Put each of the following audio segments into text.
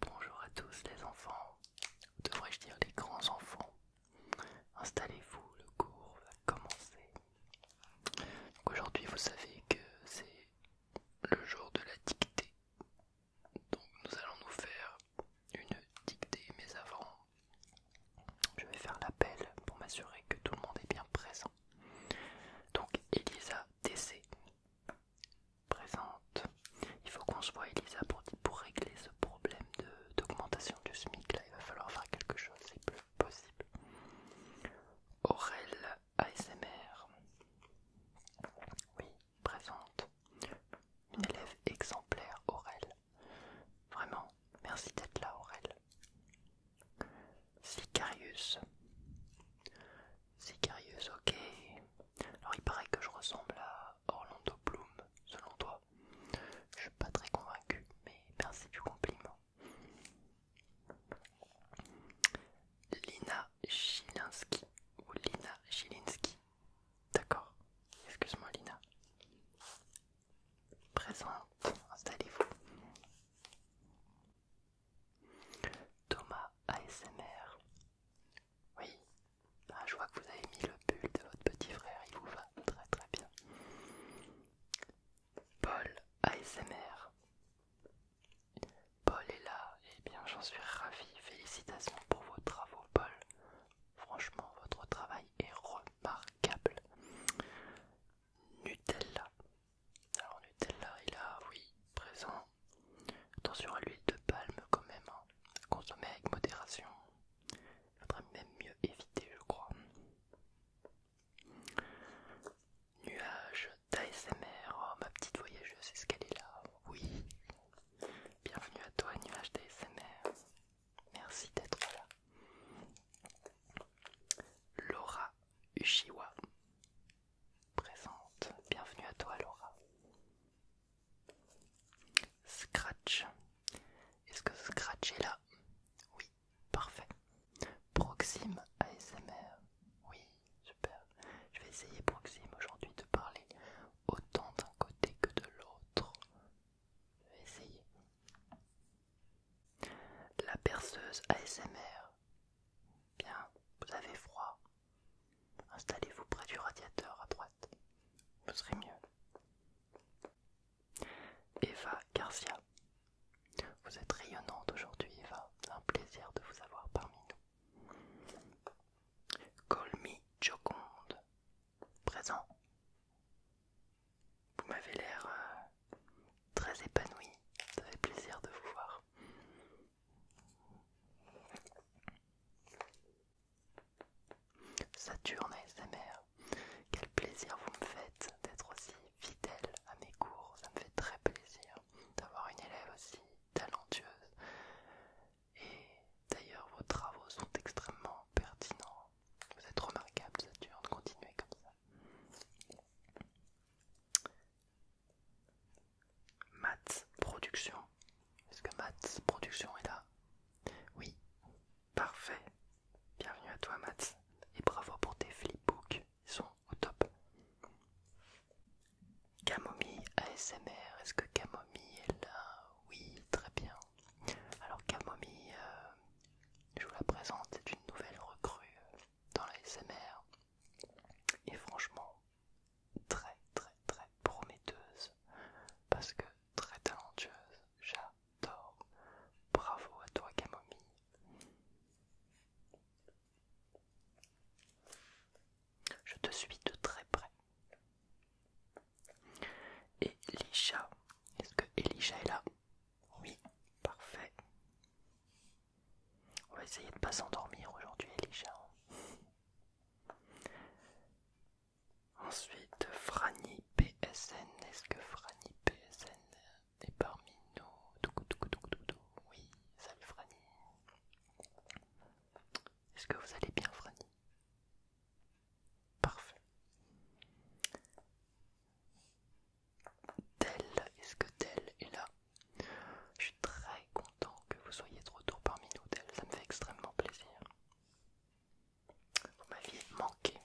Bonjour à tous les enfants, ou devrais-je dire les grands enfants. Installez-vous, le cours va commencer. Aujourd'hui vous savez que c'est le jour de la dictée. Donc nous allons nous faire une dictée, mais avant je vais faire l'appel pour m'assurer que tout le monde est bien présent. Donc Elisa TC présente. Il faut qu'on se voit, Elisa, pour, régler ce problème d'augmentation du SMIC. Là, il va falloir faire quelque chose, c'est plus possible. Aurel ASMR, oui, présente. Une élève exemplaire, Aurel. Vraiment, merci d'être là, Aurel. Sicarius, c'est curieux, ok. Alors il paraît que je ressemble à Orlando Bloom, selon toi. Je suis pas très convaincue, mais merci du compliment. Lina Chilinski ou Lina Chilinski. D'accord. Excuse-moi Lina. Présente, installez-vous. Thomas ASMR. Oui, ah, je vois que vous avez mis le pull de votre petit frère, il vous va très très bien. Paul ASMR. Paul est là, et eh bien j'en suis ravi. Félicitations pour vos travaux, Paul. Franchement, votre travail est remarquable. Nutella. Alors Nutella il là, oui présent. Attention à l'huile de palme quand même. Hein. à Consommer avec modération. Il faudrait même mieux éviter je crois. Nuage d'ASMR. Oh, ma petite voyageuse, c'est ce qu'elle est là. Oui. Bienvenue à toi, nuage d'ASMR. Merci d'être là. Laura Uchiwa présente. Bienvenue à toi, Laura. Scratch. Est-ce que Scratch est là Oui, parfait. Proxime ASMR. Oui, super. Je vais essayer, Proxime, aujourd'hui de parler autant d'un côté que de l'autre. Je vais essayer. La perceuse ASMR. Bien, vous avez froid, Installez-vous près du radiateur à droite, vous serez mieux. Eva Garcia, vous êtes rayonnante aujourd'hui, Eva. C'est un plaisir de vous avoir parmi nous. Colmi Joconde, présent. Vous m'avez l'air euh, très épanoui, ça fait plaisir de vous voir. Saturne ASMR, quel plaisir vous me faites d'être aussi fidèle à mes cours, ça me fait très plaisir d'avoir une élève aussi talentueuse. Et d'ailleurs, vos travaux sont extrêmement pertinents. Vous êtes remarquable, Saturne, de continuer comme ça. Maths Productions, Est-ce que Maths Productions est là Oui. Parfait. Bienvenue à toi Maths. Et bravo pour tes flipbooks. Ils sont au top. Camomille ASMR. Est-ce que Camomille est là Oui, très bien. Alors Camomille, euh, je vous la présente, c'est une nouvelle recrue euh, dans l'ASMR. Et franchement, très très très prometteuse parce que très talentueuse, j'adore. Bravo à toi Camomille. Je te suis de très près. Et Elisha, est-ce que Elisha est là Oui, parfait. On va essayer de ne pas s'endormir aujourd'hui, Elisha. Ensuite, Franny PSN. Est-ce que Franny PSN est parmi nous Oui, salut Franny. Est-ce que vous allez bien, Franny Parfait. Tel, est-ce que Tel est là je suis très content que vous soyez de retour parmi nous, Del. Ça me fait extrêmement plaisir. Vous m'aviez manqué.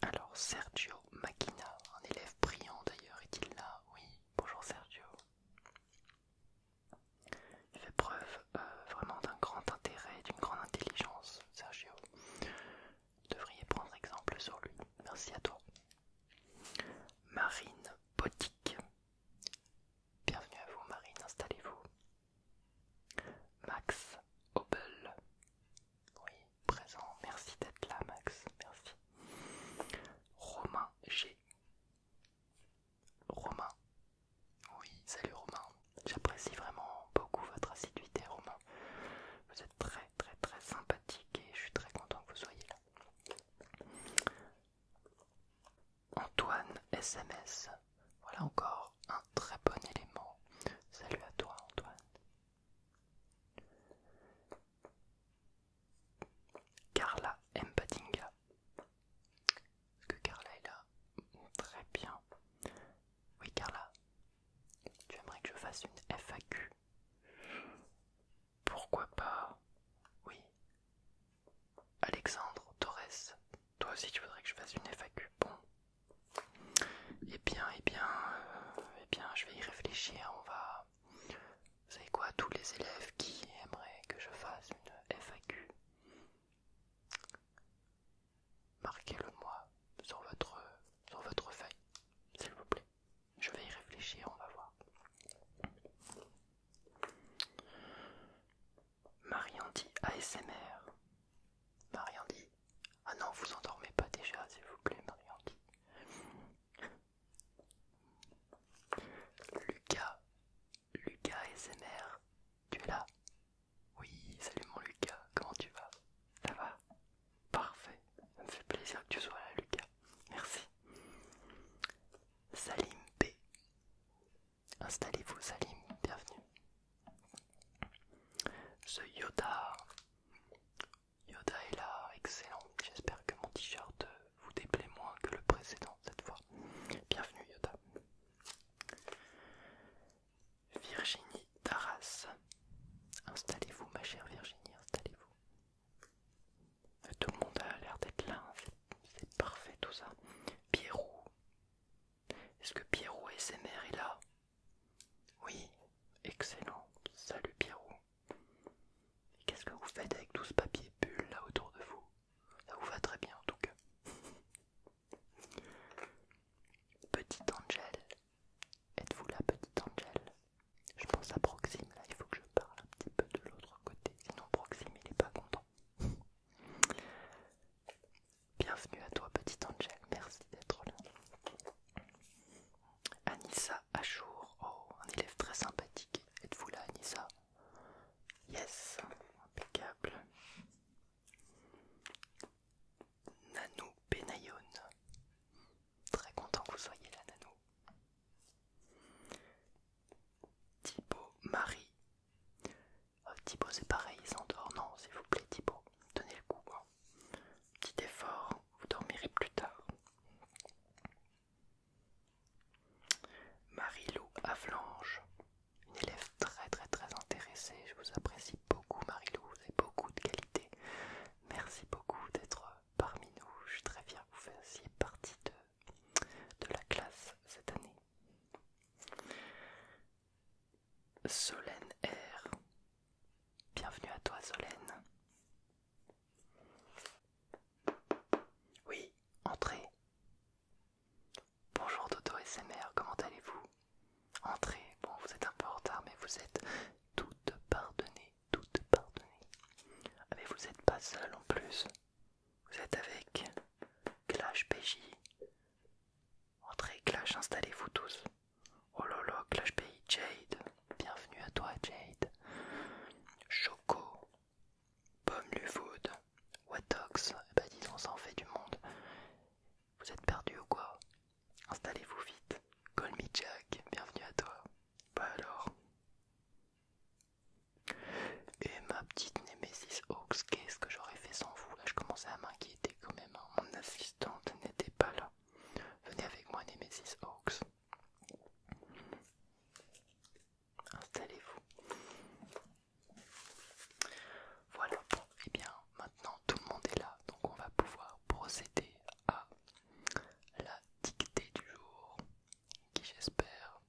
Alors, Sergio Makina, un élève brillant d'ailleurs, est-il là Oui, bonjour Sergio. Il fait preuve euh, vraiment d'un grand intérêt d'une grande intelligence, Sergio devriez prendre exemple sur lui. Merci à toi. Marine Botique. Bienvenue à vous Marine, installez-vous. Max Obel. Oui, présent. Merci d'être là Max, merci. Romain G. Romain. Oui, salut Romain. J'apprécie vraiment beaucoup votre assiduité Romain. Vous êtes très très très sympathique et je suis très content que vous soyez là. Antoine SMS, voilà encore un très bon élément. Salut à toi Antoine. Carla Mpadinga. Est-ce que Carla est là Très bien. Oui Carla, tu aimerais que je fasse une FAQ Pourquoi pas Oui. Alexandre Torres, toi aussi tu voudrais que je fasse une FAQ Bon. Eh bien, eh bien, euh, eh bien, je vais y réfléchir. On va. Vous savez quoi Tous les élèves qui aimeraient que je fasse une FAQ Marquez-le-moi sur votre, sur votre feuille, s'il vous plaît. Je vais y réfléchir, on va voir. Mariandi ASMR. Mariandi. Ah non, vous endormez pas déjà, s'il vous plaît, Mariandi. Lucas. Lucas ASMR. Tu es là oui, salut mon Lucas, comment tu vas Ça va Parfait, ça me fait plaisir que tu sois là Lucas, merci. Salim B. Installez-vous Salim, bienvenue. Ce Yoda. Yoda est là, excellent. J'espère que mon t-shirt vous déplaît moins que le précédent cette fois. Bienvenue Yoda. Virginie Taras. Installez-vous, ma chère Virginie, installez-vous. Tout le monde a l'air d'être là, c'est parfait tout ça. Pierrot. Est-ce que Pierrot mères est là Oui, excellent. Salut Pierrot. Qu'est-ce que vous faites avec tout ce papier bulle là autour de vous Ça vous va très bien en tout cas. Petite Angel, êtes-vous là, petite Angel Je pense à Proxime là, il faut que je parle un petit peu de l'autre côté, sinon Proxime il n'est pas content. Bienvenue à toi, petite Angel, merci d'être là. Anissa Achour, oh, un élève très sympathique. Êtes-vous là, Anissa Yes, impeccable. Nanou Benayoun. Très content que vous soyez là, Nanou. Thibaut Marie. Euh, Thibaut, c'est pareil, il s'endort. Non, s'il vous plaît, Thibaut, donnez le coup. Hein. Petit effort, vous dormirez plus tard. Marie-Lou Avlange une élève très très très intéressée. Je vous apprécie beaucoup, Marie-Lou et beaucoup de qualité. Merci beaucoup d'être parmi nous. Je suis très bien que vous fassiez partie de, de la classe cette année. Solène R. Bienvenue à toi Solène. Oui, entrez. Bonjour Toto SMR, comment allez-vous Entrez, bon vous êtes un peu en retard mais vous êtes toutes pardonnées, toutes pardonnées. Ah mais vous êtes pas seul en plus. Vous êtes avec Clash PJ. Entrez Clash, installez-vous tous. Oh là là, Clash PJ, Jade. Bienvenue à toi Jade. Choco. Pomme du Watox. Eh ben ça en fait du monde. Vous êtes perdu ou quoi Installez-vous vite. Call me Jack, bienvenue à toi. Bah alors. Et ma petite Nemesis Hawks, qu'est-ce que j'aurais fait sans vous Là, je commençais à m'inquiéter quand même. Hein. Mon assistante n'était pas là. Venez avec moi, Nemesis Hawks. Installez-vous. Voilà, et eh bien maintenant tout le monde est là, donc on va pouvoir procéder à la dictée du jour, qui j'espère,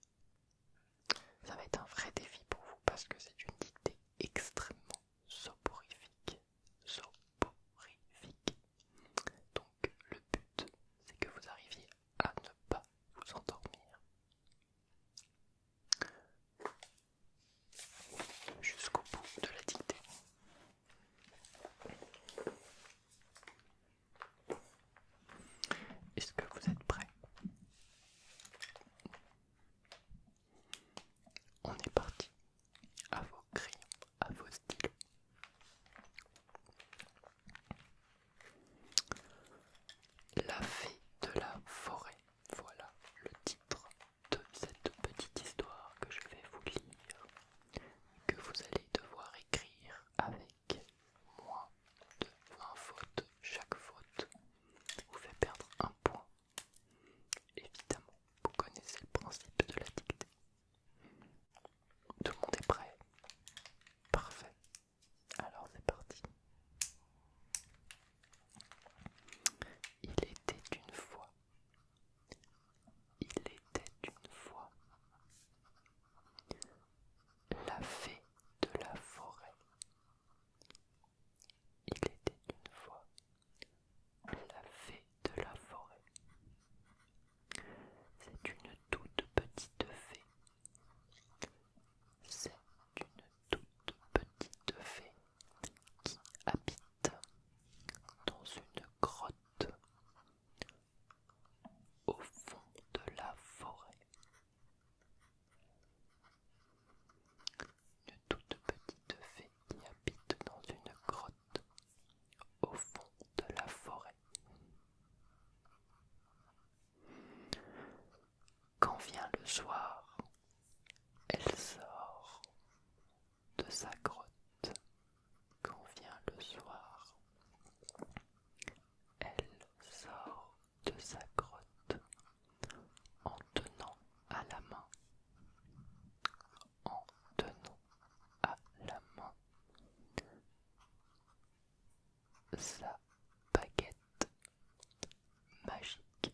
ça va être un vrai défi pour vous parce que c'est une dictée extrêmement soporifique, soporifique. Donc le but, c'est que vous arriviez à ne pas vous endormir jusqu'au bout de la dictée. Est-ce que vous êtes prêts On est parti. À vos crayons, à vos stylos. La fée de la forêt, voilà le titre de cette petite histoire que je vais vous lire, que vous allez devoir écrire avec moins de 20 fautes. Chaque faute vous fait perdre un point. Évidemment, vous connaissez le principe de la dictée. Tout le monde est prêt Parfait. Alors c'est parti. Il était une fois. Il était une fois. La fée de la forêt. Il était une fois. La fée de la forêt. C'est une toute petite fée. C'est une toute petite fée qui habite dans une grotte au fond de la forêt. Une toute petite fée qui habite dans une grotte au fond de la forêt. Quand vient le soir, elle sort de sa grotte. Quand vient le soir, elle sort de sa grotte en tenant à la main, en tenant à la main sa baguette magique,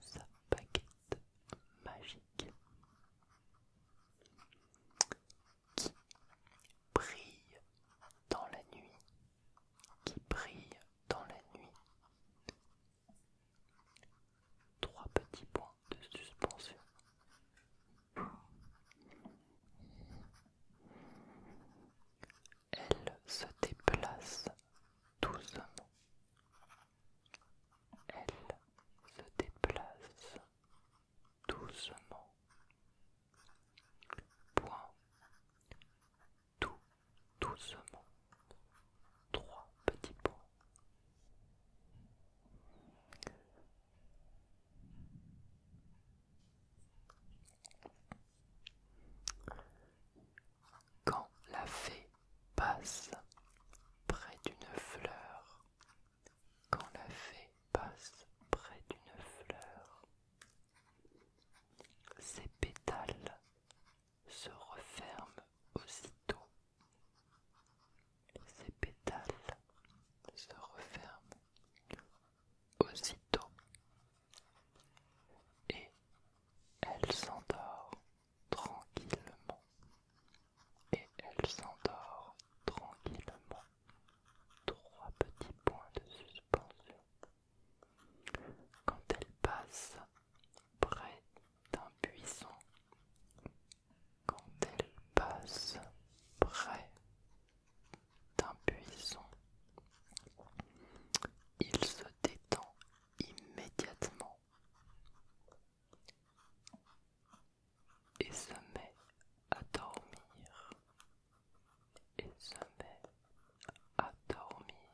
sa baguette magique qui brille dans la nuit, qui brille dans la nuit. Trois petits points de suspension. Elle se déplace doucement, elle se déplace doucement. Point. Tout doucement. Trois petits points. Quand la fée passe près d'une fleur, quand la fée passe près d'une fleur, ses pétales se referment aussitôt. Ses pétales se referment aussitôt et elle s'endort tranquillement. Et elle s'endort tranquillement. Trois petits points de suspension. Quand elle passe près d'un buisson, quand elle passe près d'un buisson, il se détend immédiatement et se met à dormir et se met à dormir.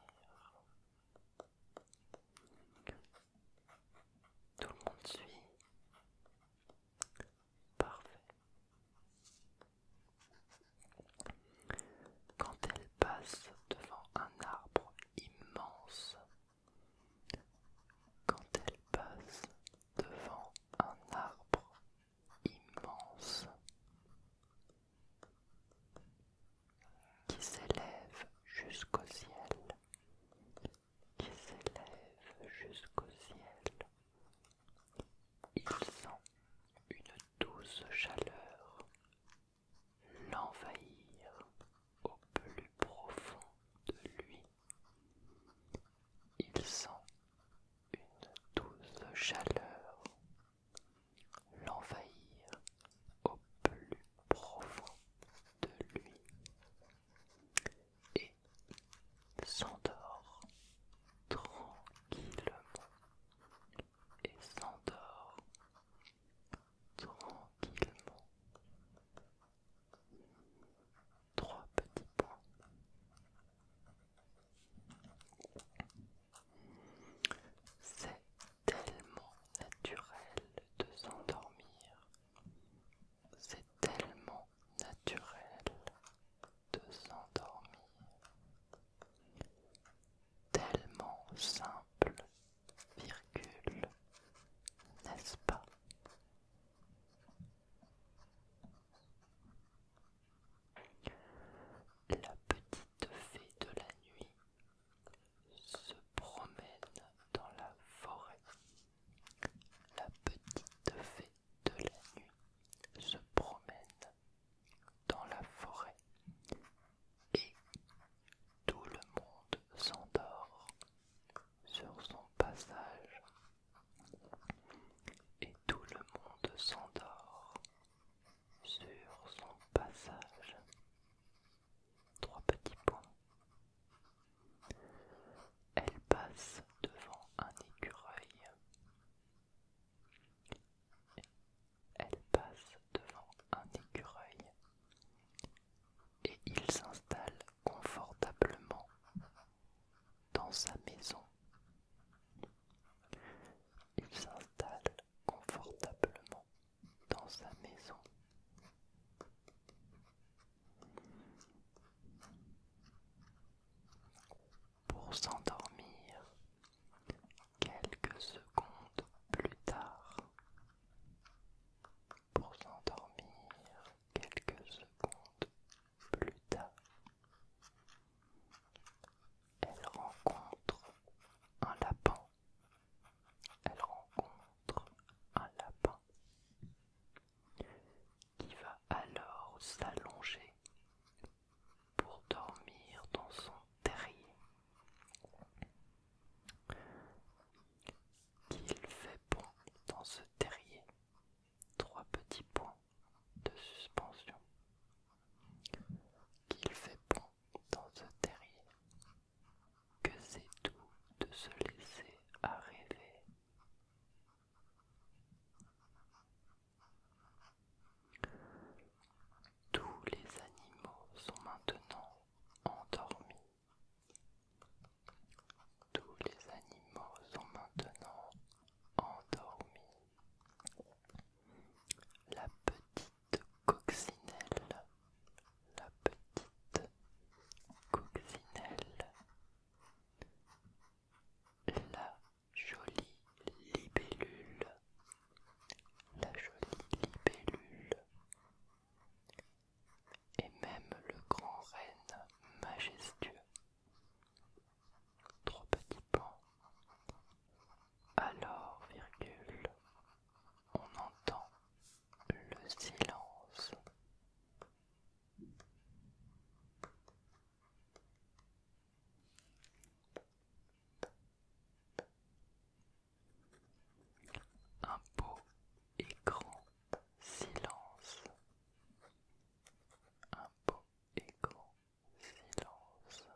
Tout le monde suit. Parfait. Quand elle passe devant un arbre immense, quand elle passe devant un arbre immense qui s'élève jusqu'au ciel, qui s'élève jusqu'au ciel, il sent une douce chaleur l'envahir au plus profond de lui. Il sent une douce chaleur l'envahir au plus profond de lui et s'endort tranquillement et s'endort tranquillement trois petits points. C'est tellement naturel de s'endormir. C'est tellement naturel de s'endormir tellement simple, virgule, n'est-ce pas La petite fée de la nuit se promène dans la forêt. La petite fée de la nuit se promène dans la forêt et tout le monde s'endort sur son passage et tout le monde s'endort sur son passage trois petits points elle passe devant un écureuil elle passe devant un écureuil et il s'installe confortablement dans sa maison. Il s'installe confortablement dans sa maison. Pour s'endormir, quelques secondes plus tard. Pour s'endormir, quelques secondes plus tard, elle rencontre un lapin. Elle rencontre un lapin qui va alors s'allonger pour dormir dans son terrier, qu'il fait bon dans ce terrier trois petits points de suspension, qu'il fait bon dans ce terrier, que c'est tout de se laisser arriver. Tous les animaux sont maintenant endormis. Tous les animaux sont maintenant endormis. La petite coccinelle, la petite coccinelle, la jolie libellule, la jolie libellule, et même le grand reine majestueux. Trop petit pan. Alors, virgule, on entend le silence. Un beau et grand silence. Un beau et grand silence.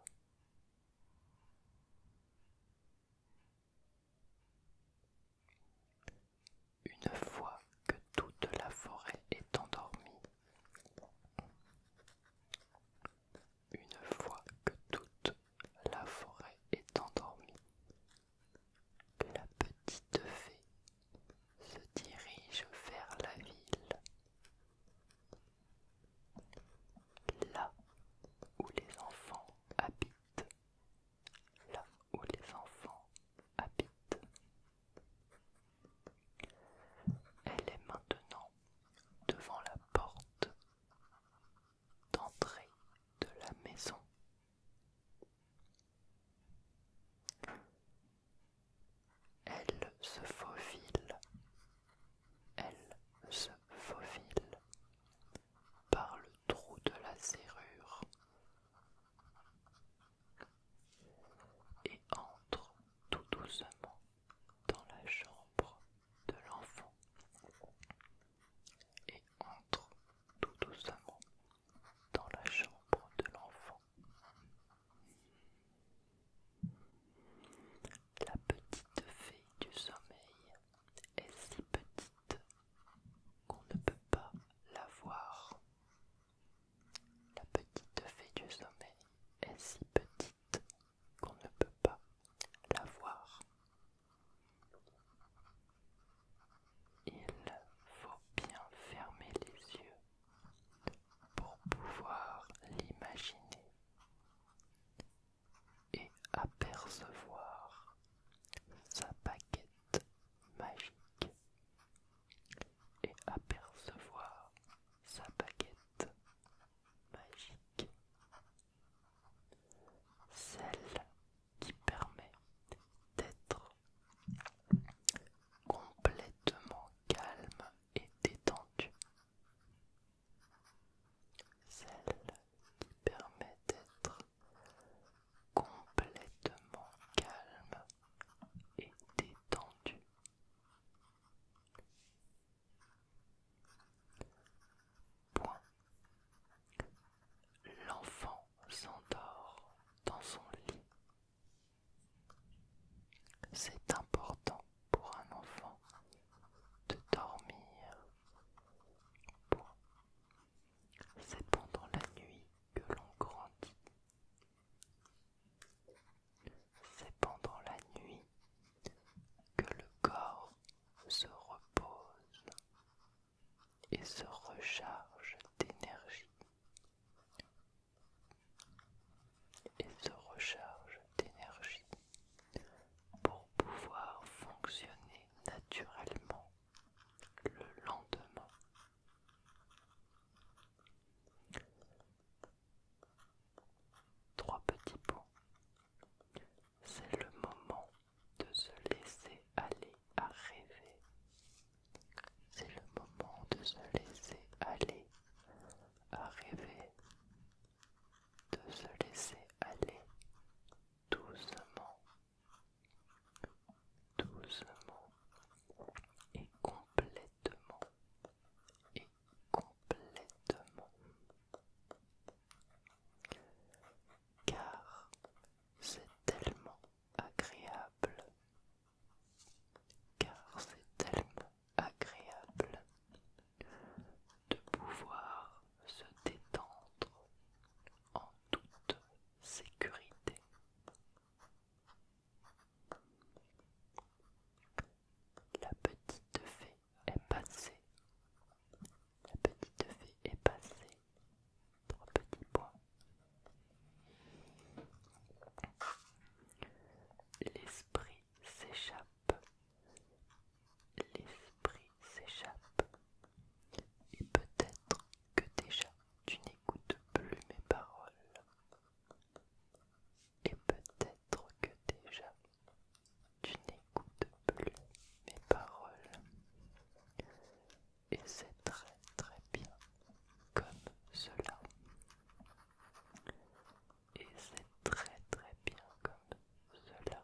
Une fois que toute la forêt est endormie, une fois que toute la forêt est endormie, la petite fée se dirige vers la ville, là où les enfants habitent, là où les enfants habitent. Elle est maintenant devant la porte d'entrée de la maison. Elle se faufile, elle se faufile par le trou de la serrure et entre tout doucement dans la chambre de l'enfant et entre tout doucement dans la chambre de l'enfant. La petite fée du sommeil est si petite qu'on ne peut pas la voir. La petite fée du sommeil est si petite qu'on ne peut pas la voir. Il faut bien fermer les yeux pour pouvoir l'imaginer et apercevoir sa baguette magique et apercevoir sa baguette magique, celle qui permet d'être complètement calme et détendu, celle qui permet d'être complètement calme et détendu. L'enfant s'endort dans son lit. C'est important pour un enfant de dormir. C'est pendant la nuit que l'on grandit. C'est pendant la nuit que le corps se repose et se recharge d'énergie et se recharge d'énergie pour pouvoir fonctionner naturellement le lendemain. Trois petits pots. C'est le moment de se laisser aller à rêver. C'est le moment de se laisser aller à rêver. De se laisser aller doucement. Doucement et complètement complètement. Car c'est tellement agréable. Car c'est tellement agréable de pouvoir se détendre en toute sécurité. La petite fée est passée. La petite fée est passée. Trois petits points. L'esprit s'échappe. L'esprit s'échappe. Et peut-être que déjà tu n'écoutes plus mes paroles et peut-être que déjà tu n'écoutes plus mes paroles. Et c'est très très bien comme cela. Et c'est très très bien comme cela.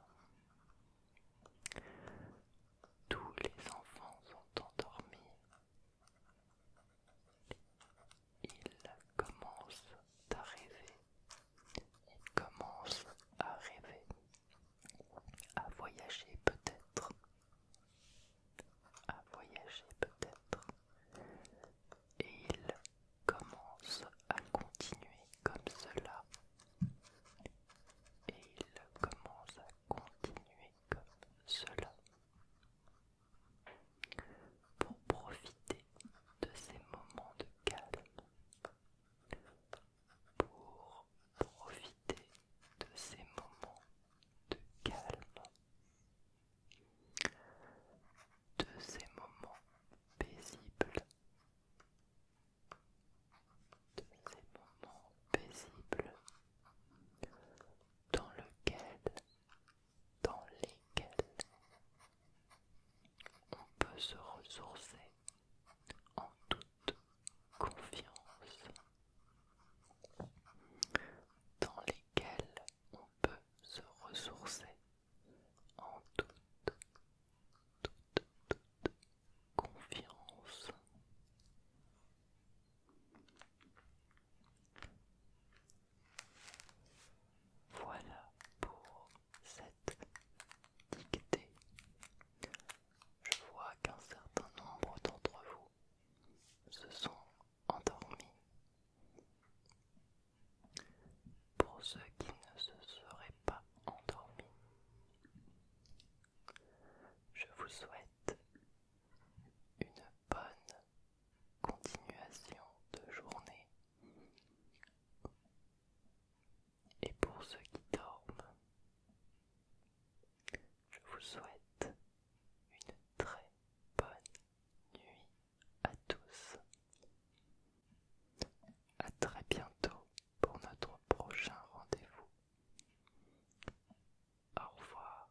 Tous les enfants sont endormis. Il commence à rêver. Il commence à rêver. À voyager peut-être. À voyager peut-être. Et il commence à continuer comme cela. Et il commence à continuer comme cela pour profiter de ces moments de calme, pour profiter de ces moments de calme, de ces moments paisibles, de ces moments paisibles dans lesquels dans lesquelles on peut se ressourcer en toute confiance, dans lesquelles on peut se ressourcer en toute, toute, toute confiance. Voilà pour cette dictée. Je vois qu'un certain nombre d'entre vous se sont endormis. Pour ceux qui ne se seraient pas endormis, je vous souhaite une bonne continuation de journée. Et pour ceux qui dorment, je vous souhaite une très bonne nuit à tous. À très bientôt pour notre prochain rendez-vous. Au revoir.